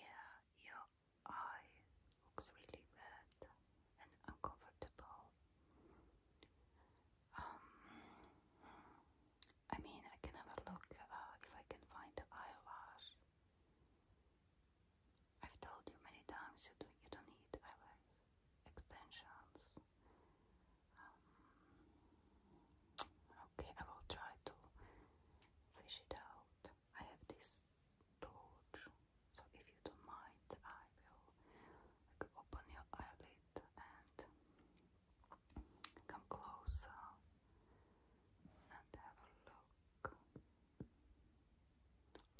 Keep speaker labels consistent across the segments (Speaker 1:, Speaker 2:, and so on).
Speaker 1: Yeah, your eye looks really red and uncomfortable. Um, I mean, I can have a look uh, if I can find the eyelash. I've told you many times you don't, need eyelash extensions. Um, okay, I will try to fish it out. I have this torch, so if you don't mind, I will open your eyelid and come closer and have a look.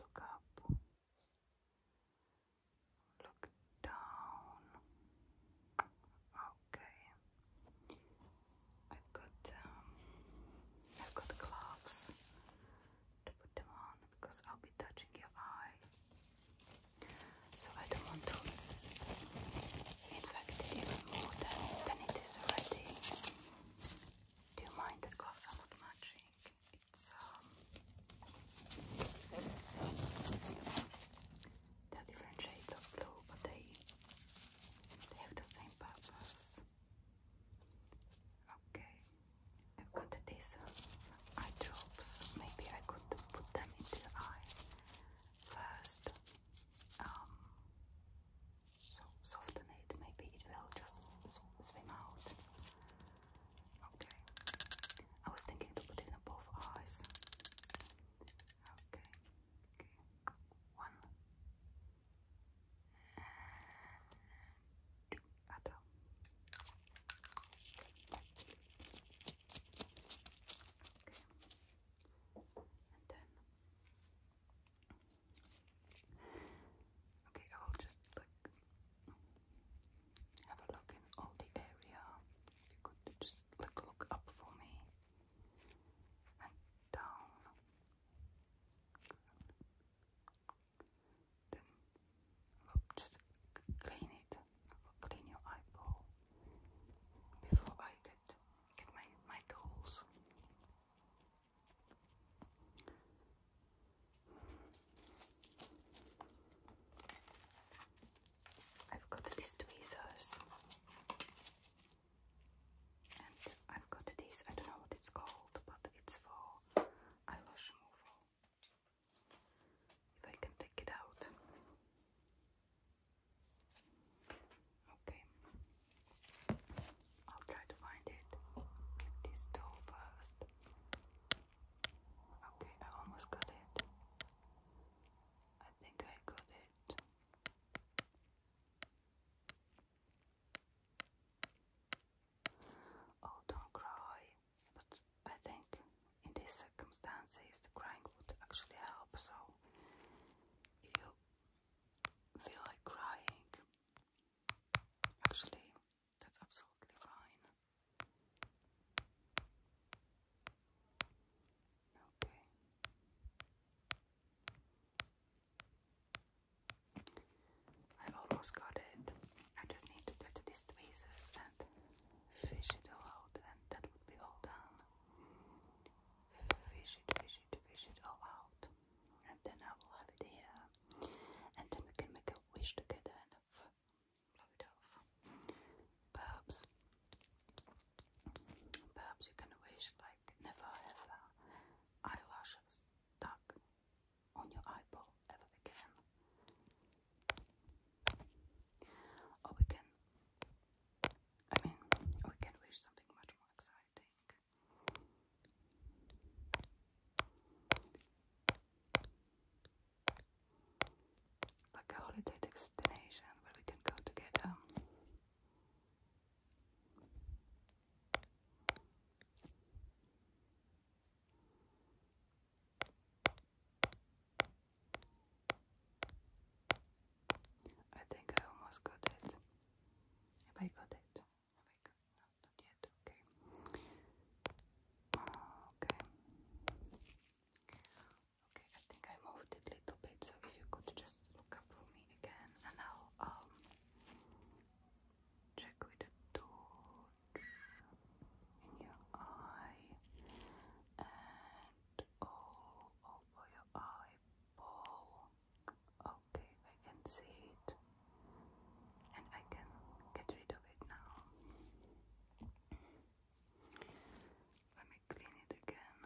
Speaker 1: Look up. Look down. Okay. I've got um, I've got gloves to put them on because I'll be touching your eye, so I don't want to infect it even more than, it is already. Do you mind that gloves are not matching? It's um, there are different blue, but they have the same purpose. Okay, I've got these uh, Maybe I could put them into the eye first. Um, so soften it. Maybe it will just swim out. Okay, I was thinking to put it in both eyes. Okay, okay one, and two Okay, and then. Okay, I will just like have a look in all the area. If you could just look up for me down. Then just clean it. Clean your eyeball before I get get my my tools. I've got these tweezers. And I've got this, I don't know what it's called, but it's for eyelash removal. If I can take it out. Okay. I'll try to find it. This doll first. Okay, I almost got it. I think I got it. Oh, don't cry. But I think in these circumstances, the crying would actually help. So if you feel like crying, actually, that's absolutely fine. Okay. I almost got it. I just need to get to these pieces and fish it all out, and that would be all done. Fish it, fish it, fish it all out, and then I will have it here, and then we can make a wish together and blow it off. Perhaps, perhaps you can wish like never have eyelashes stuck on your eyeball ever again. Or we can, I mean, we can wish something much more exciting. Like a holiday destination where we can go together. I think I almost got it. Have I got it? no, not yet, okay. Ah, okay. Okay, I think I moved it a little bit, so if you could just look up for me again, and I'll um, check with a torch in your eye and all oh, over your eyeball. Okay, I can see it, and I can get rid of it now. Let clean it again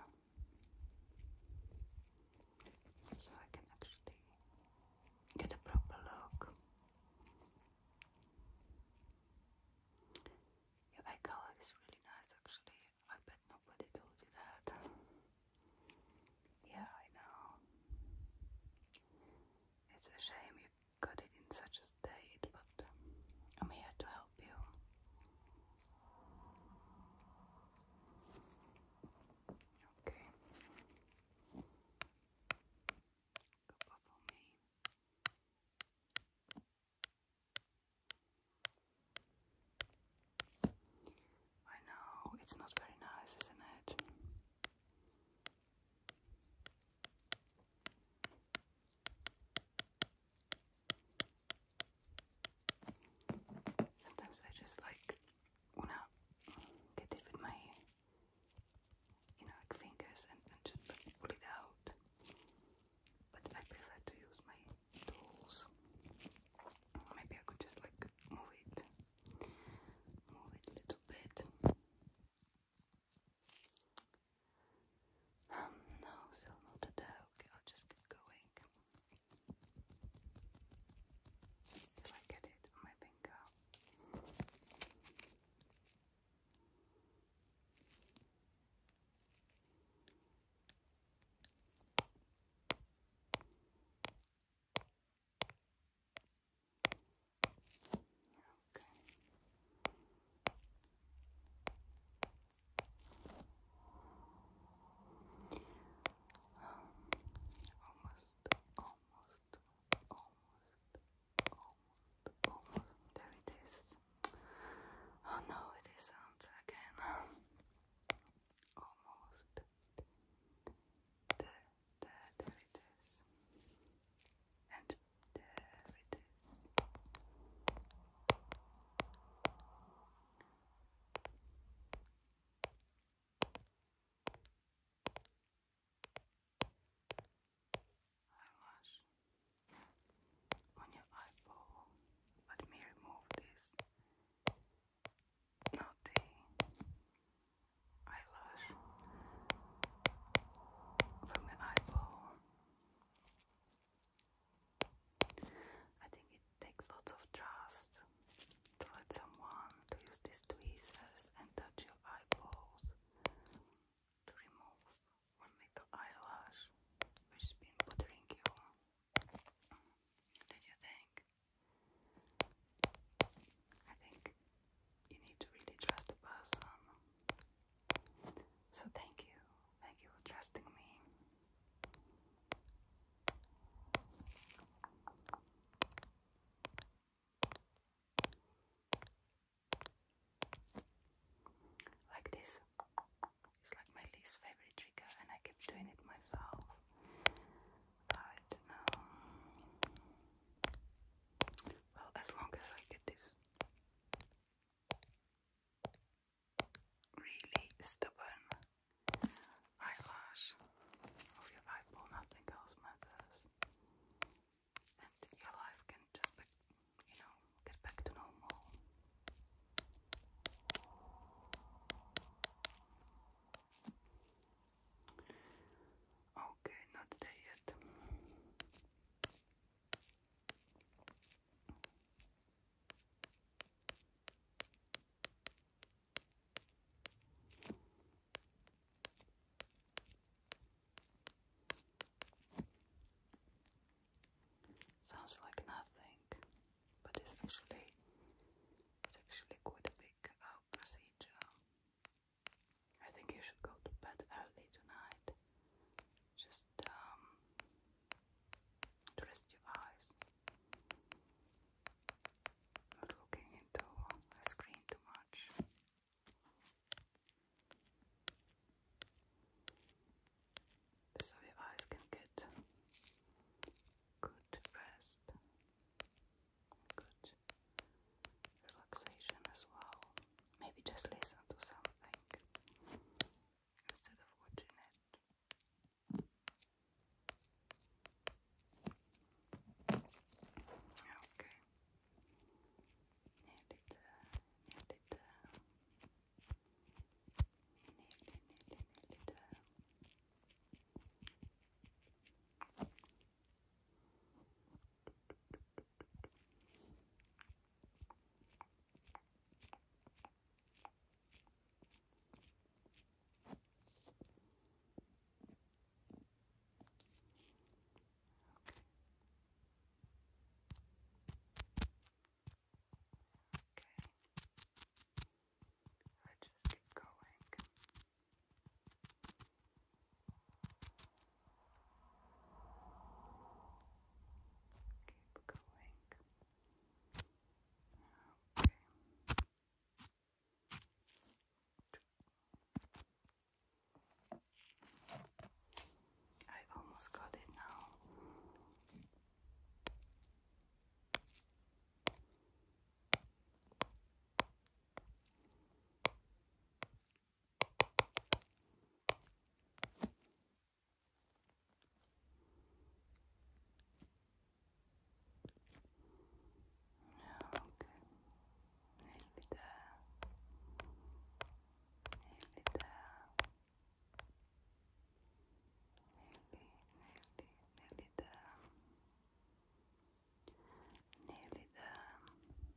Speaker 1: so I can actually get a proper look. eye color is really nice actually. I bet nobody told you that. Yeah, I know. It's a shame you got it in such a state, but I'm here to help help you. Okay. I know it's not very nice, isn't it? Sometimes I just like want get it with my you know fingers and, and just pull it out. But I prefer to use my tools. Maybe I could just like move it. Move it a little bit. Um, no, still not today. Okay, I'll just keep going. Till I get it my finger. Okay almost, almost, almost, almost. There it is. Oh no, it isn't again. almost. There, there, there it is. And there it is eyelash on your eyeball. Let me remove this naughty eyelash from your eyeball. I think it takes lots of trust to let someone to use these tweezers and touch your eyeballs to remove one little eyelash which has been bothering you. Did you think? I think you need to really trust the person. So thank you Thank you for trusting me. Like this. It's like my least favorite trigger, and I keep doing it myself. But now, um, well, as long as I get this really stubborn eyelash of your eyeball, nothing else matters. And your life can just you know, get back to normal. Okay, not today yet. Sounds like nothing, but it's actually it's actually quite a big uh, procedure. I think you should go to bed early tonight just um, rest your eyes. Not looking into a screen too much. So your eyes can get good rest, good relaxation as well. Maybe just listen to something instead of watching it. Okay. Nearly there, nearly there. Nearly, nearly, nearly there. Let's just keep going. Okay. Keep going. I almost got it now. Nearly there. Nearly there. Nearly, nearly,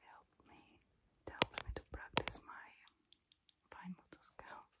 Speaker 1: Help me, help me to practice my fine motor skills.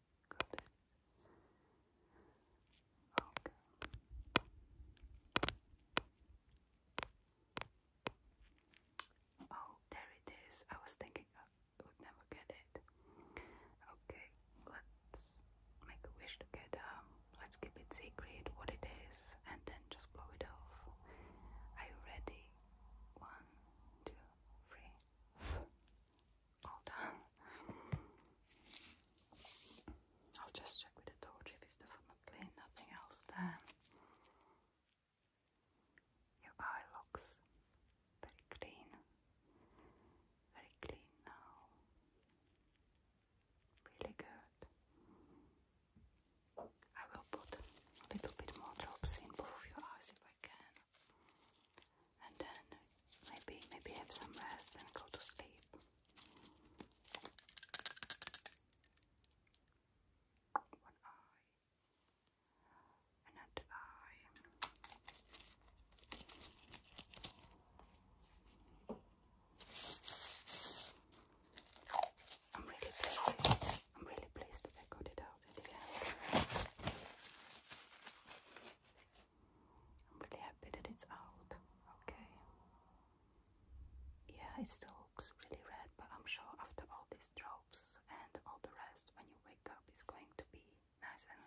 Speaker 1: Okay. Oh, there it is. I was thinking I would never get it. Okay, let's make a wish together. Let's keep it secret what it is and then just blow it off. Are you ready? One, two, three all done. I'll just check with the torch if it's definitely nothing else there. Your eye looks very clean, very clean now. Really good. I will put a little bit more drops in both of your eyes if I can and then maybe maybe have some rest and go to sleep. One eye, another eye. I'm really pleased. I'm really pleased that I got it I'm really happy that it's out. Okay. Yeah, it still looks really red, but I'm sure after all these drops and all the rest, when you wake up, it's going to be nice and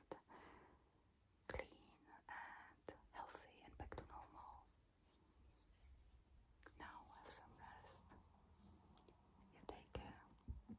Speaker 1: clean and healthy and back to normal. Now have some rest. take care.